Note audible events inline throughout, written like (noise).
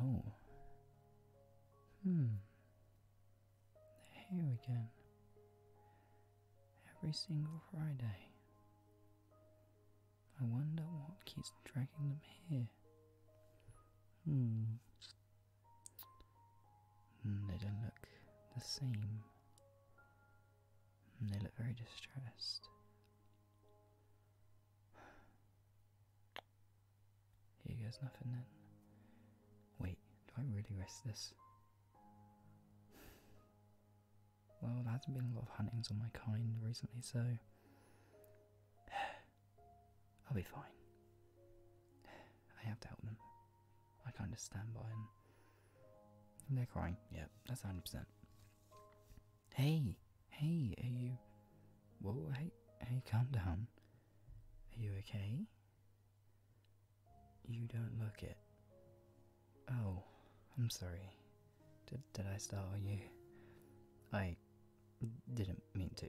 Oh. Hmm. Here again. Every single Friday. I wonder what keeps dragging them here. Hmm. Mm, they don't look the same. Mm, they look very distressed. Here goes nothing then. Wait, do I really risk this? Well, there hasn't been a lot of huntings on my kind recently, so. (sighs) I'll be fine. (sighs) I have to help them. I kind of stand by and they're crying. Yeah, that's 100%. Hey, hey, are you. Whoa, hey, hey, calm down. Are you okay? You don't look it. Oh, I'm sorry. Did, did I startle you? I didn't mean to.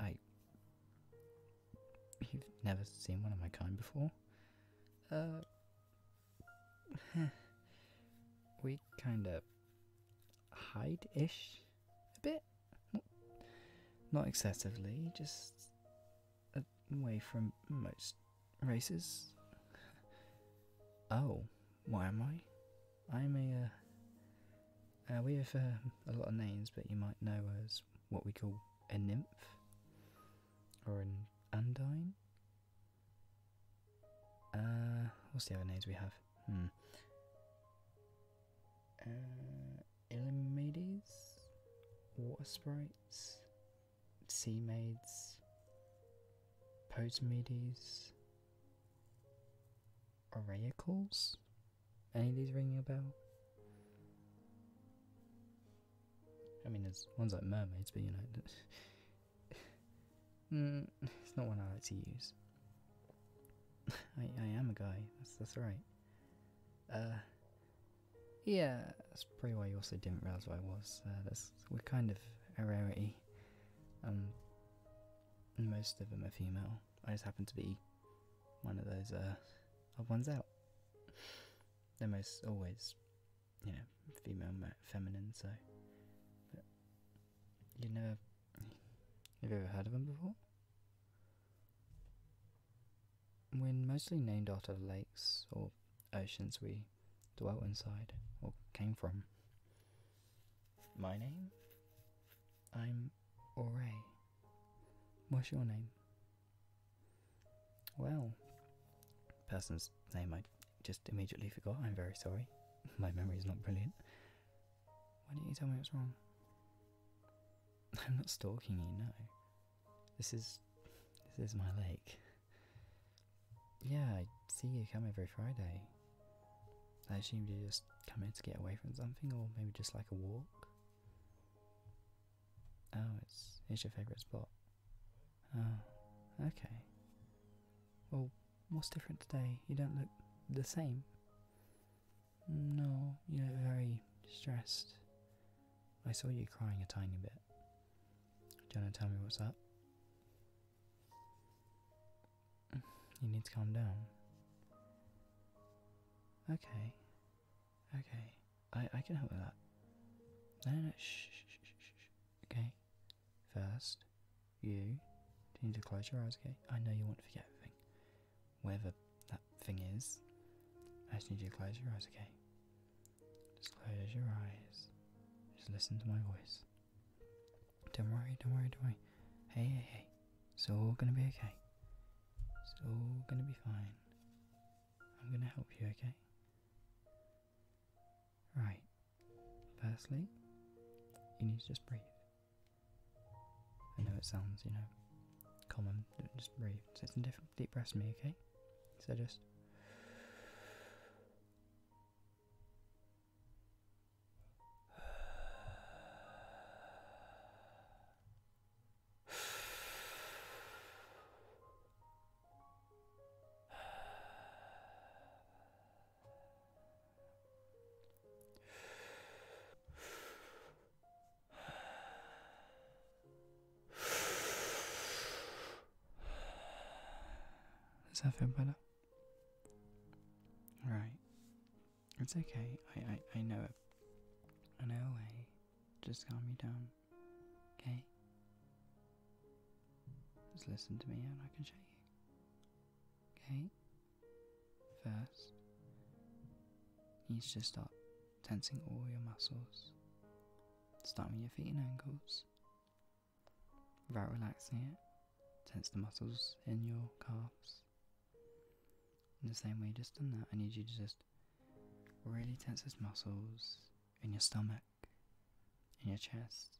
I. You've never seen one of my kind before? Uh, we kinda hide ish a bit. Not, excessively, just away from most races. (laughs) Oh, why am I? I'm a. Uh, uh, we have um, a lot of names, but you might know us what we call a nymph or an Undine. Uh, what's the other names we have? Hmm. Uh, water sprites, sea maids, Posemedes, oracles. Any of these ringing a bell? I mean, there's ones like mermaids, but you know, (laughs) hmm, it's not one I like to use. (laughs) I, am a guy. That's that's right. Uh, yeah, that's probably why you also didn't realize what I was. Uh, we're kind of a rarity. and um, most of them are female. I just happen to be one of those uh, odd ones out. They're most always, you know, female, feminine. So, you never, have you ever heard of them before? We're mostly named after lakes or oceans we dwelt inside or came from. My name? I'm Alright. What's your name? Well, person's name I just immediately forgot. I'm very sorry. (laughs) My memory is not brilliant. Why do not you tell me what's wrong? (laughs) I'm not stalking you, no. This is this is my lake. Yeah, I see you come every Friday. I assume you just come here to get away from something or maybe just like a walk. Oh, it's it's your favourite spot. Oh, okay. Well, what's different today? You don't look the same. No, you look very stressed. I saw you crying a tiny bit. Do you want to tell me what's up? You need to calm down. Okay, Okay, I I can help with that. Then no, Shh, Okay, first, you do you need to close your eyes. Okay, I know you want to forget everything. Wherever that thing is, I just need you to close your eyes. Okay, just close your eyes. Just listen to my voice. Don't worry, don't worry, don't worry. hey, hey. It's all gonna be okay. It's all gonna be fine. I'm gonna help you, okay? Right. Firstly, you need to just breathe. I know it sounds, you know, common, just breathe. It's so different deep breaths from me, okay? So just. Does (sighs) that feel better? All right. It's okay. I, I, know it. I know Just calm you down. Okay? Just listen to me and I can show you. Okay? First, you need to just start tensing all your muscles. Start with your feet and ankles. Without relaxing it, tense the muscles in your calves, in the same way you just done that, I need you to just really tense those muscles in your stomach, in your chest,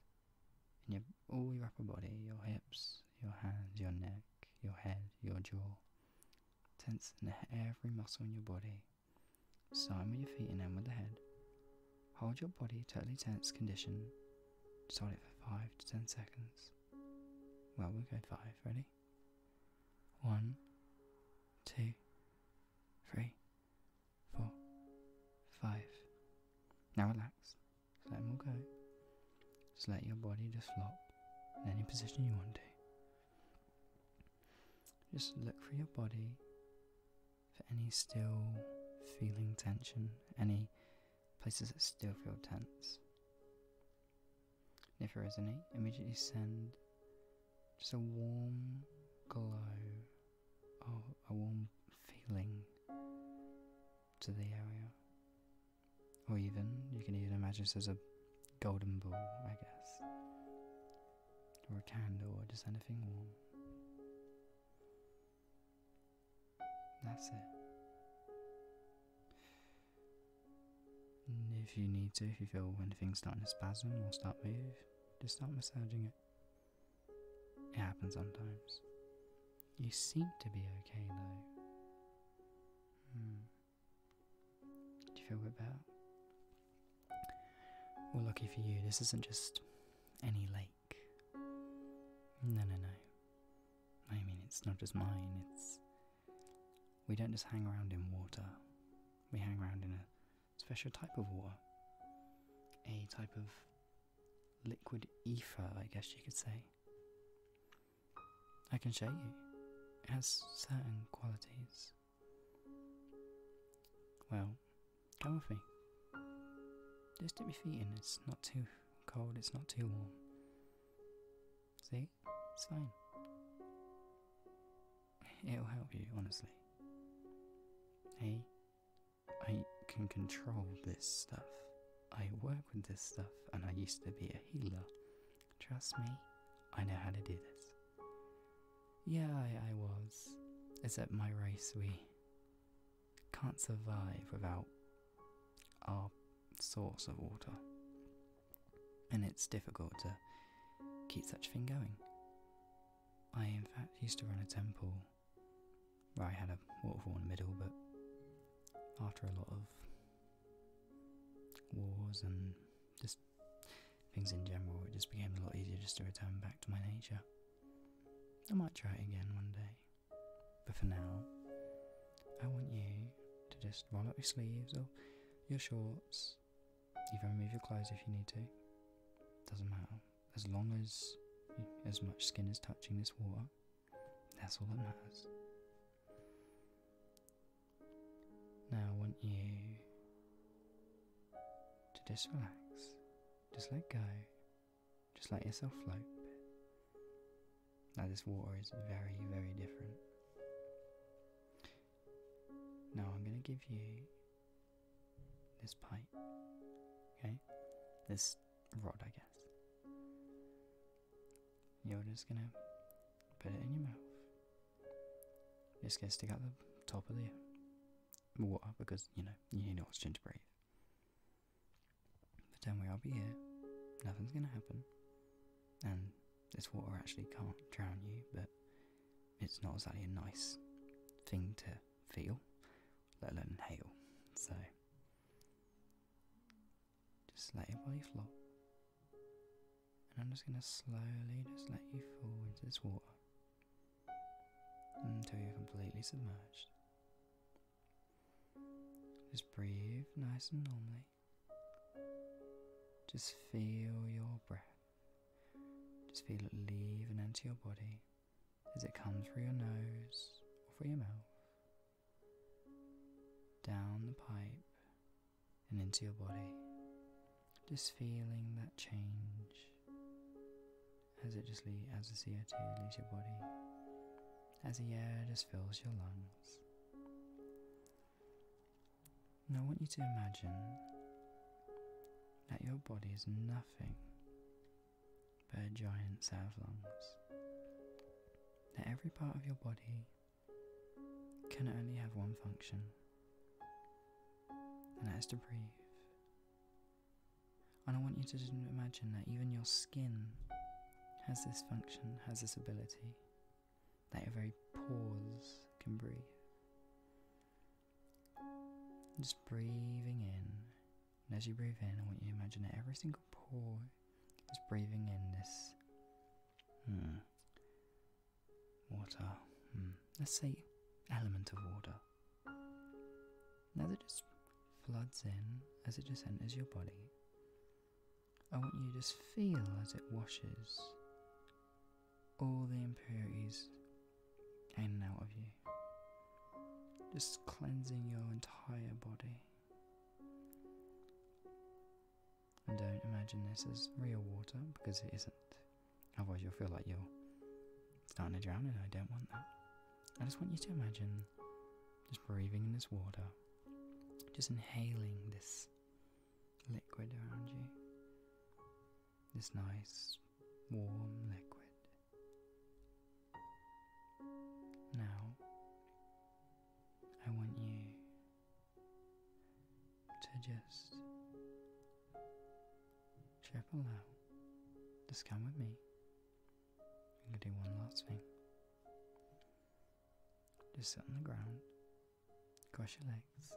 in your all your upper body, your hips, your hands, your neck, your head, your jaw. Tense in every muscle in your body. Starting with your feet and end with the head. Hold your body totally tense condition. Just hold it for 5 to 10 seconds. Well, we'll go 5. Ready? One, two, three, four, five. Now relax. Just let them all go. Just let your body just flop in any position you want to. Just look for your body for any still feeling tension, any places that still feel tense if you resonate, immediately send just a warm glow or a warm feeling to the area. Or even, you can even imagine this as a golden ball, I guess. Or a candle, or just anything warm. That's it if you need to, if you feel anything starting to spasm or start move, just start massaging it. It happens sometimes. You seem to be okay though. Hmm. Do you feel a bit better? Well, lucky for you, this isn't just any lake. No, no, no. I mean, it's not just mine, it's we don't just hang around in water, we hang around in a special type of water, a type of liquid ether, I guess you could say. I can show you. It has certain qualities. Well, come with me. Just dip your feet in, it's not too cold, it's not too warm. See? It's fine. It'll help you, honestly. Hey, I can control this stuff. I work with this stuff and I used to be a healer. Trust me, I know how to do this. Yeah, I was. Except my race, we can't survive without our source of water and it's difficult to keep such a thing going. I, in fact, used to run a temple where I had a waterfall in the middle, but after a lot of wars and just things in general, it just became a lot easier just to return back to my nature. I might try it again one day, but for now, I want you to just roll up your sleeves or your shorts, even remove your clothes if you need to. Doesn't matter. As long as as much skin is touching this water, that's all that matters. Now I want you to just relax, just let go, just let yourself float. Now, this water is very, very different. Now, I'm going to give you this pipe, okay? This rod, I guess. You're just going to put it in your mouth. Just going to stick out the top of the water because, you know, you need oxygen to breathe. But don't will be here. Nothing's going to happen. And this water actually can't drown you, but it's not exactly a nice thing to feel, let alone inhale. So just let your body flop. And I'm just going to slowly just let you fall into this water until you're completely submerged. Just breathe nice and normally. Just feel your breath. Just feel it leave and enter your body as it comes through your nose or through your mouth, down the pipe and into your body. Just feeling that change as it just as the CO2 leaves your body, as the air just fills your lungs. And I want you to imagine that your body is nothing but a giant set of lungs. That every part of your body can only have one function, and that is to breathe. And I want you to imagine that even your skin has this function, has this ability that your very pores can breathe. Just breathing in, and as you breathe in, I want you to imagine that every single pore is breathing in this hmm, water. Hmm, let's say element of water. Now that just floods in as it just enters your body, I want you to just feel as it washes all the impurities in and out of you, just cleansing your entire body. And don't imagine this as real water because it isn't. Otherwise, you'll feel like you're starting to drown, and I don't want that. I just want you to imagine just breathing in this water, just inhaling this liquid around you. This nice warm liquid. Now, I want you to just triple out. Just come with me. I'm gonna do one last thing. Just sit on the ground. Cross your legs.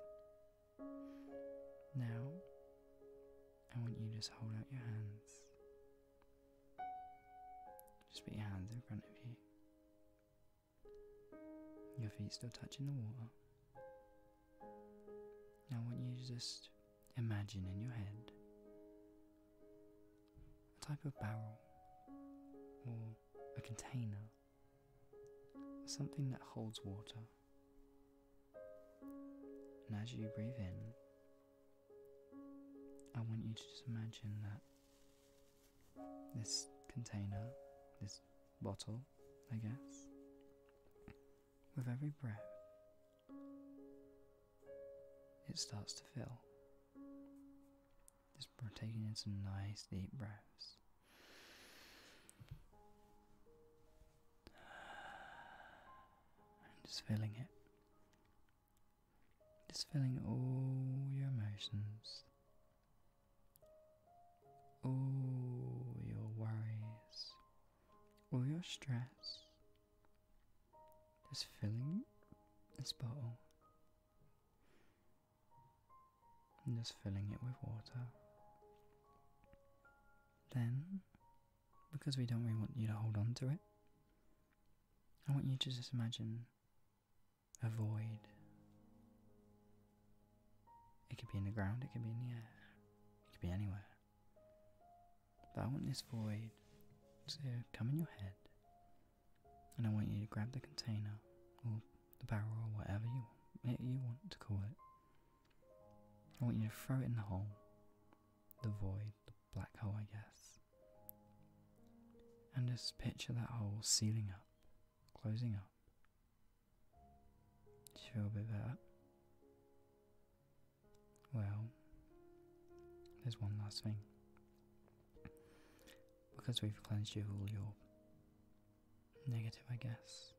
Now, I want you to just hold out your hands. Just put your hands in front of you. Your feet still touching the water. Now, I want you to just imagine in your head a type of barrel or a container, something that holds water. And as you breathe in, I want you to just imagine that this container, this bottle, I guess, with every breath, it starts to fill. Just taking in some nice deep breaths. just feeling it. Just feeling all your emotions, all your worries, all your stress. Just filling this bottle and just filling it with water. Then, because we don't really want you to hold on to it, I want you to just imagine a void. It could be in the ground, it could be in the air, it could be anywhere. But I want this void to come in your head and I want you to grab the container or the barrel or whatever you want, eh, you want to call it. I want you to throw it in the hole, the void, the black hole, I guess. And just picture that hole sealing up, closing up. Do you feel a bit better? Well, there's one last thing. Because we've cleansed you of all your negative, I guess,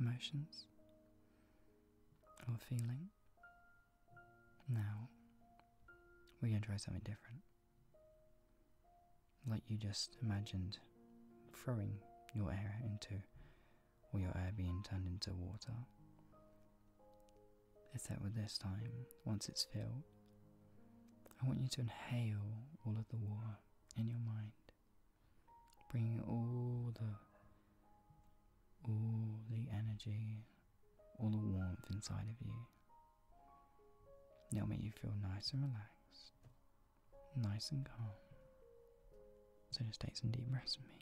emotions or feeling. Now, we're going to try something different. Like you just imagined throwing your air into, or your air being turned into water. that with this time, once it's filled, I want you to inhale all of the warmth in your mind, bringing all the all the energy, all the warmth inside of you. It'll make you feel nice and relaxed, nice and calm. So just take some deep breaths with me.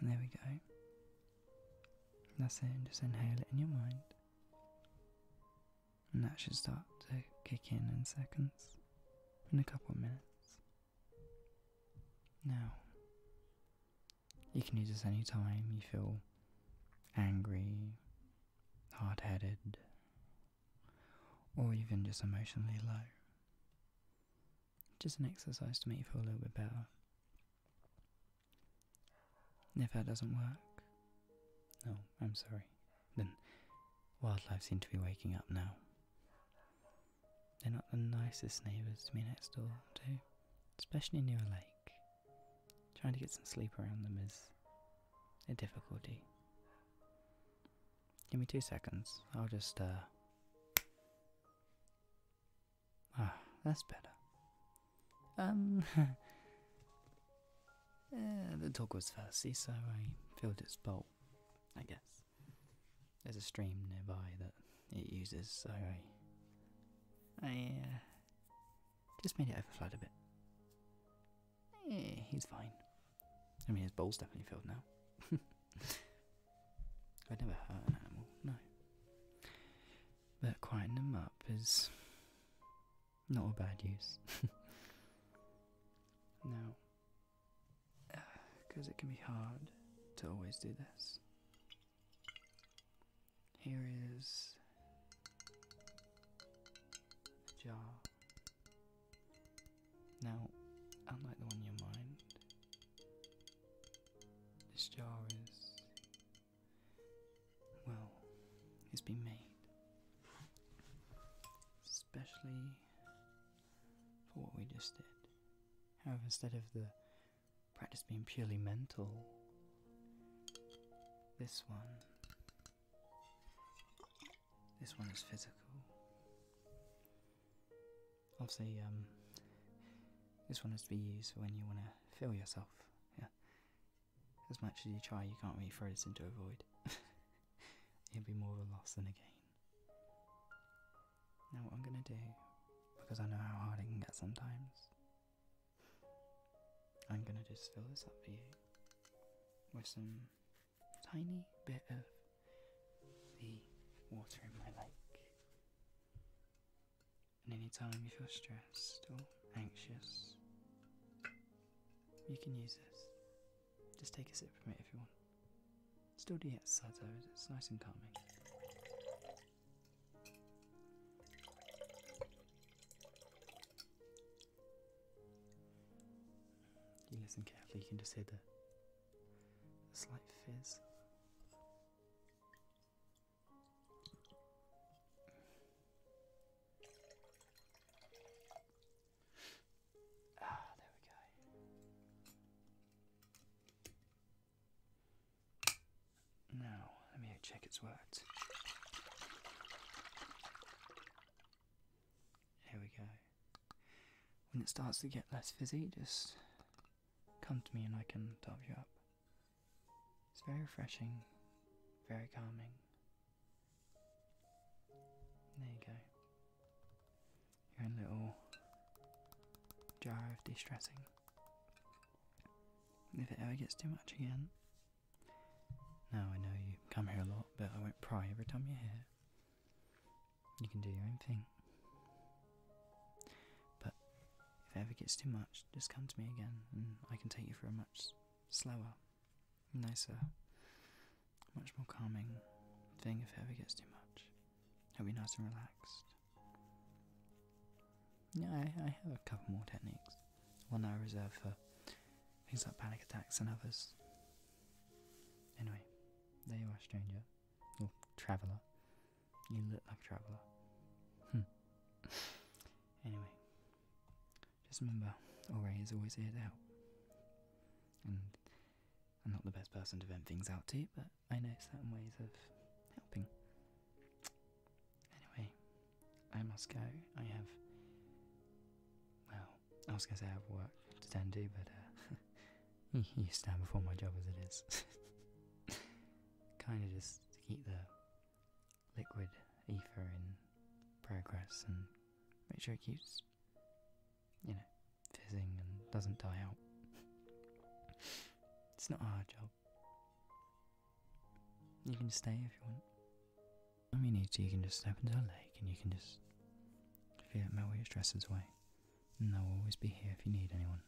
And there we go. That's it, just inhale it in your mind and that should start to kick in in seconds, in a couple of minutes. Now, you can use this anytime you feel angry, hard headed, or even just emotionally low. Just an exercise to make you feel a little bit better. If that doesn't work. Oh, I'm sorry. Then wildlife seem to be waking up now. They're not the nicest neighbours to me next door, too. Especially near a lake. Trying to get some sleep around them is a difficulty. Give me two seconds. I'll just, uh. Ah, that's better. Um. (laughs) Uh, the dog was thirsty, so I filled its bowl, I guess. There's a stream nearby that it uses, so I. I uh, just made it overflow a bit. Eh, he's fine. I mean, his bowl's definitely filled now. (laughs) I'd never hurt an animal, no. But quieting him up is not a bad use. (laughs) now, because uh, it can be hard to always do this. Here is a jar. Now, unlike the one in your mind, this jar is well, it's been made. Especially for what we just did. However, instead of the practice being purely mental, this one. This one is physical. Obviously, um, this one is to be used when you want to feel yourself. Yeah, as much as you try, you can't really throw this into a void. (laughs) it will be more of a loss than a gain. Now, what I'm gonna do, because I know how hard it can get sometimes, I'm gonna just fill this up for you with some tiny bit of the water in my lake. And anytime you feel stressed or anxious, you can use this. Just take a sip from it if you want. Still do the exercise it's nice and calming. You listen carefully, you can just hear the slight fizz. Ah, there we go. Now, let me check it's worked. Here we go. When it starts to get less fizzy, just come to me and I can top you up. It's very refreshing, very calming. There you go. Your own little jar of distressing. If it ever gets too much again. Now I know you come here a lot, but I won't pry every time you're here. You can do your own thing. But if it ever gets too much, just come to me again and I can take you for a much slower, nicer, much more calming thing if ever gets too much. It'll be nice and relaxed. Yeah, I, have a couple more techniques. One I reserve for things like panic attacks and others. Anyway, there you are, stranger. Or traveller. You look like a traveller. Hmm. (laughs) anyway, just remember, Ore is always here to help. And I'm not the best person to vent things out to, but I know certain ways of helping. Anyway, I must go. I have. Well, I was gonna say I have work to tend to, but uh, (laughs) you stand before my job as it is. (laughs) kind of just to keep the liquid ether in progress and make sure it keeps, you know, fizzing and doesn't die out. (laughs) it's not a hard job. You can stay if you want. I mean, you need to, you can just step into a lake and you can just feel it melt all your stress away. And i will always be here if you need anyone.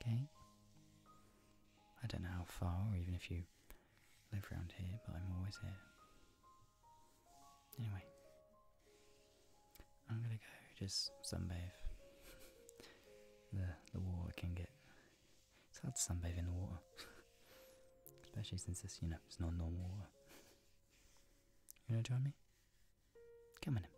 Okay? I don't know how far, or even if you live round here, but I'm always here. Anyway, I'm gonna go just sunbathe. (laughs) the the water can get it's hard to sunbathe in the water, (laughs) especially since this you know it's not normal water. You want to join me? Come on in.